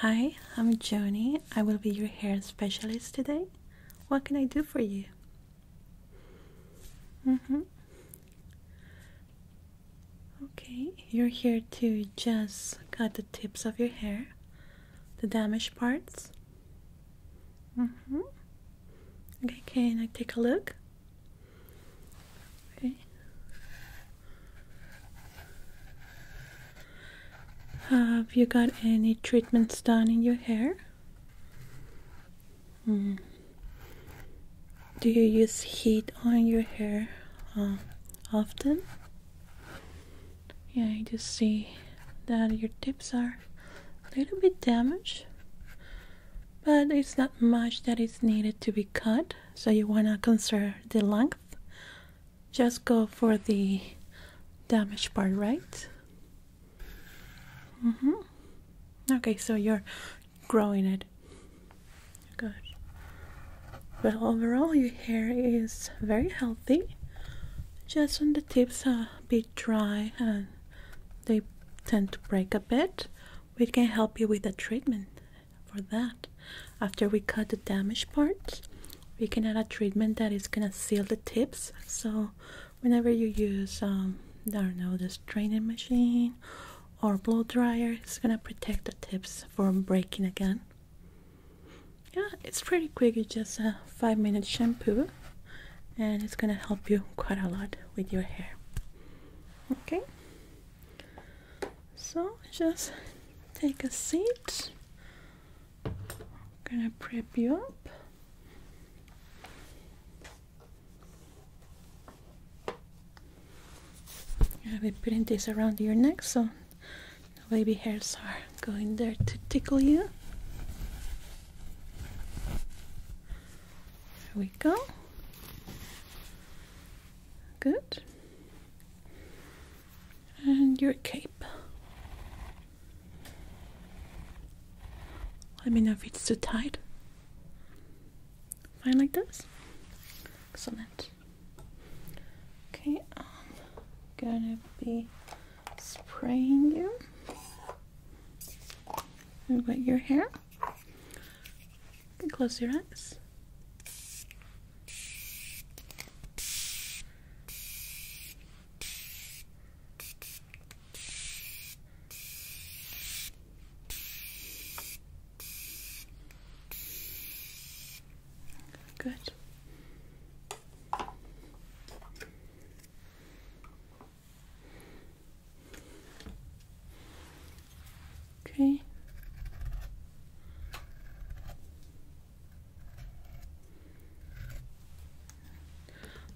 Hi, I'm Joni. I will be your hair specialist today. What can I do for you? Mm-hmm. Okay, you're here to just cut the tips of your hair, the damaged parts. Mm-hmm. Okay, can I take a look? Okay. Have you got any treatments done in your hair? Hmm. Do you use heat on your hair uh, often? Yeah, you just see that your tips are a little bit damaged, but it's not much that is needed to be cut, so you want to conserve the length just go for the damaged part, right? Mm -hmm. Okay, so you're growing it. Good. Well, overall, your hair is very healthy. Just on the tips are a bit dry and they tend to break a bit. We can help you with the treatment for that after we cut the damaged parts we can add a treatment that is gonna seal the tips so whenever you use um i don't know this training machine or blow dryer it's gonna protect the tips from breaking again yeah it's pretty quick it's just a five minute shampoo and it's gonna help you quite a lot with your hair okay so just take a seat I'm gonna prep you up I'll be putting this around your neck so no baby hairs are going there to tickle you there we go good and your cape. Let me know if it's too tight. Fine like this. Excellent. Okay, I'm gonna be spraying you. About your hair close your eyes. Good. Okay.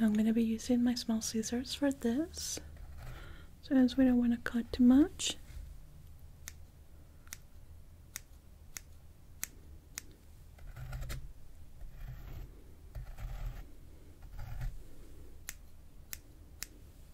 I'm going to be using my small scissors for this. So as we don't want to cut too much.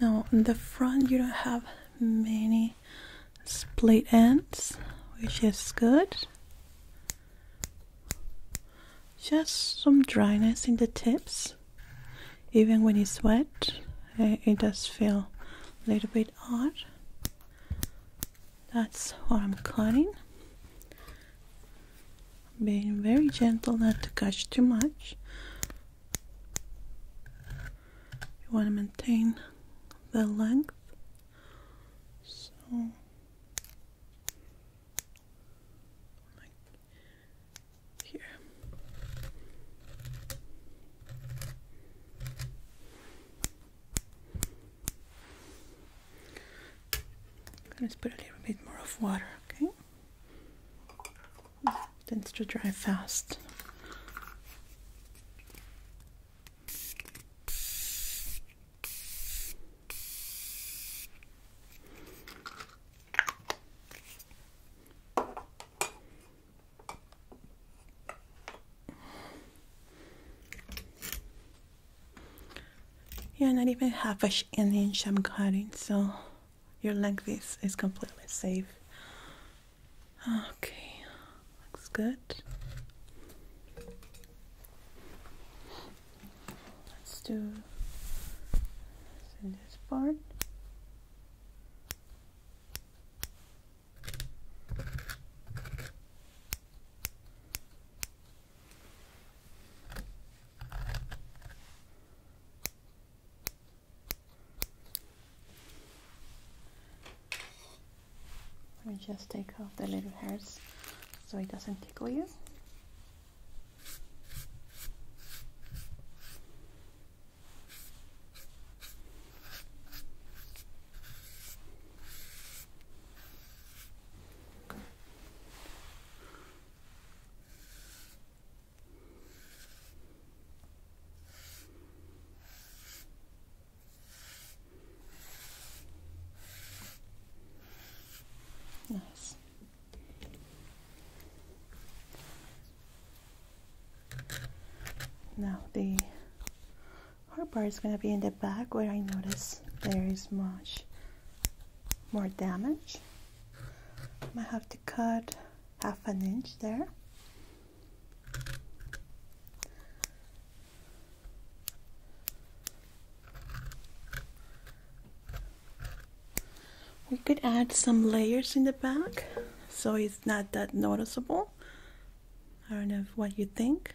Now on the front you don't have many split ends, which is good. Just some dryness in the tips. Even when it's wet, eh, it does feel a little bit odd. That's what I'm cutting. Being very gentle not to cut too much. You want to maintain the length. So here. I'm gonna put a little bit more of water, okay? It tends to dry fast yeah not even half an inch I'm cutting so your length is, is completely safe okay looks good let's do this part let me just take off the little hairs so it doesn't tickle you. Nice. Now the hard part is going to be in the back where I notice there is much more damage. I might have to cut half an inch there. We could add some layers in the back so it's not that noticeable. I don't know what you think.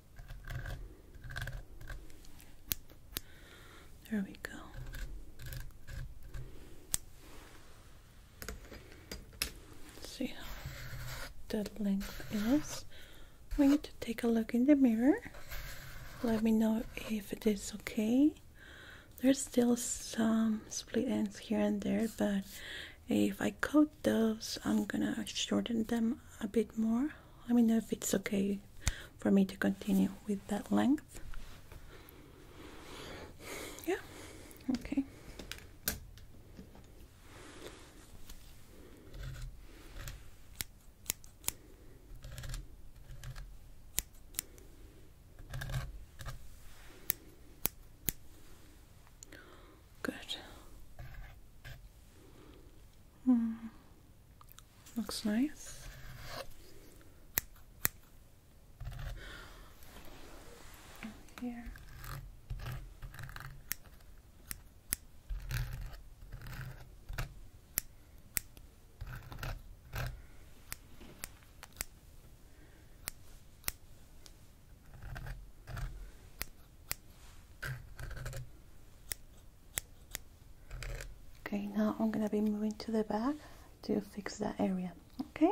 There we go. Let's see how that length is. We need to take a look in the mirror. Let me know if it is okay. There's still some split ends here and there, but if I cut those, I'm gonna shorten them a bit more. Let me know if it's okay for me to continue with that length. Yeah, okay. Good. Mm. Looks nice. Here. Okay, now I'm gonna be moving to the back to fix that area, okay?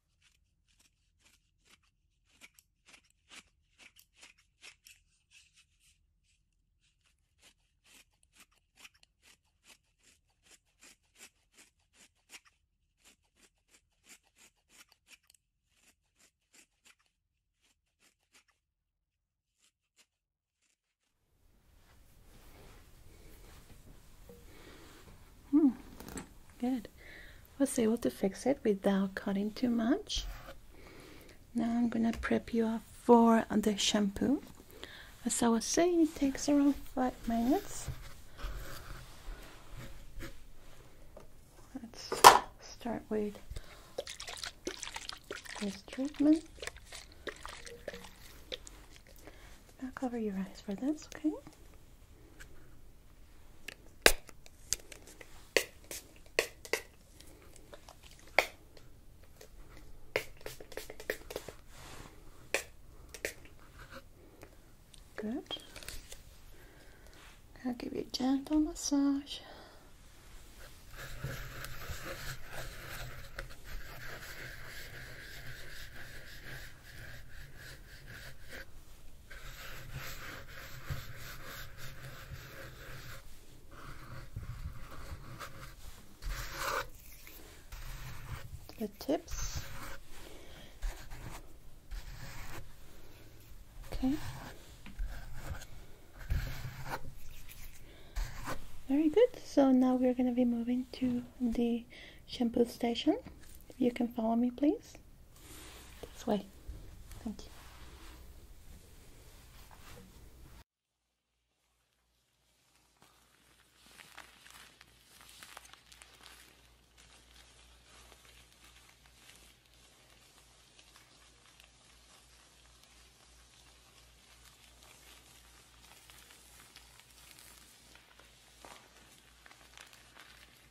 Hmm. Good was able to fix it without cutting too much. Now I'm gonna prep you up for the shampoo. As I was saying, it takes around five minutes. Let's start with this treatment. I'll cover your eyes for this, okay? Good. I'll give you a gentle massage the tips. Okay. Very good. So now we're going to be moving to the shampoo station. If you can follow me, please. This way. Thank you.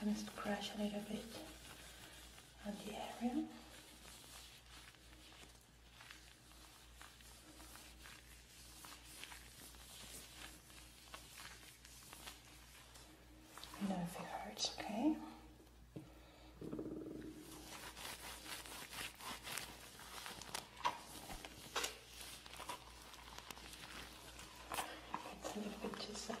I'm going to scratch a little bit on the area you if it hurts, okay? It's a bit too soapy.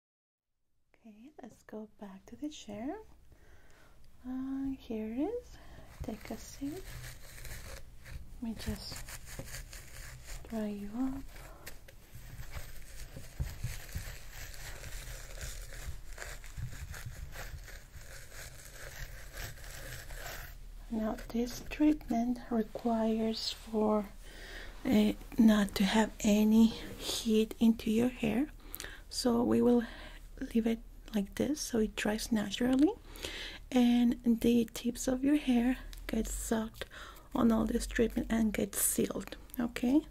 Okay, let's go back to the chair. Uh, here it is. Take a seat. Let me just dry you up. Now, this treatment requires for Eh, not to have any heat into your hair so we will leave it like this so it dries naturally and the tips of your hair get sucked on all this treatment and get sealed okay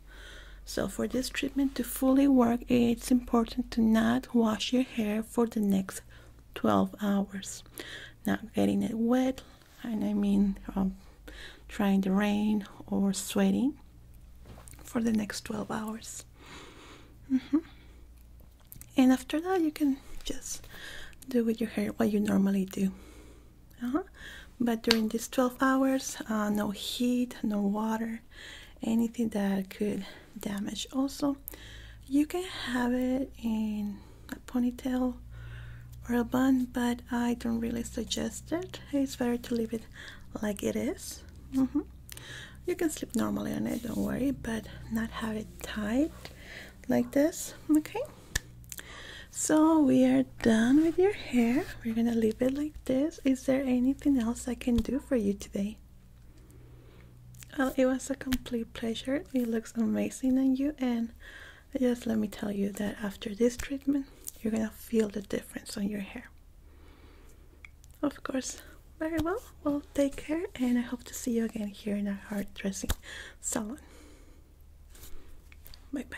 so for this treatment to fully work it's important to not wash your hair for the next 12 hours not getting it wet and I mean um, trying to rain or sweating for the next 12 hours. Mm-hmm. And after that, you can just do with your hair what you normally do. Uh-huh. But during these 12 hours, uh, no heat, no water, anything that could damage. Also, you can have it in a ponytail or a bun, but I don't really suggest it it's better to leave it like it is. Mm-hmm. You can sleep normally on it, don't worry, but not have it tight like this. Okay, so we are done with your hair. We're gonna leave it like this. Is there anything else I can do for you today? Well, it was a complete pleasure. It looks amazing on you, and just let me tell you that after this treatment you're gonna feel the difference on your hair of course very well well take care and i hope to see you again here in our hair dressing salon bye bye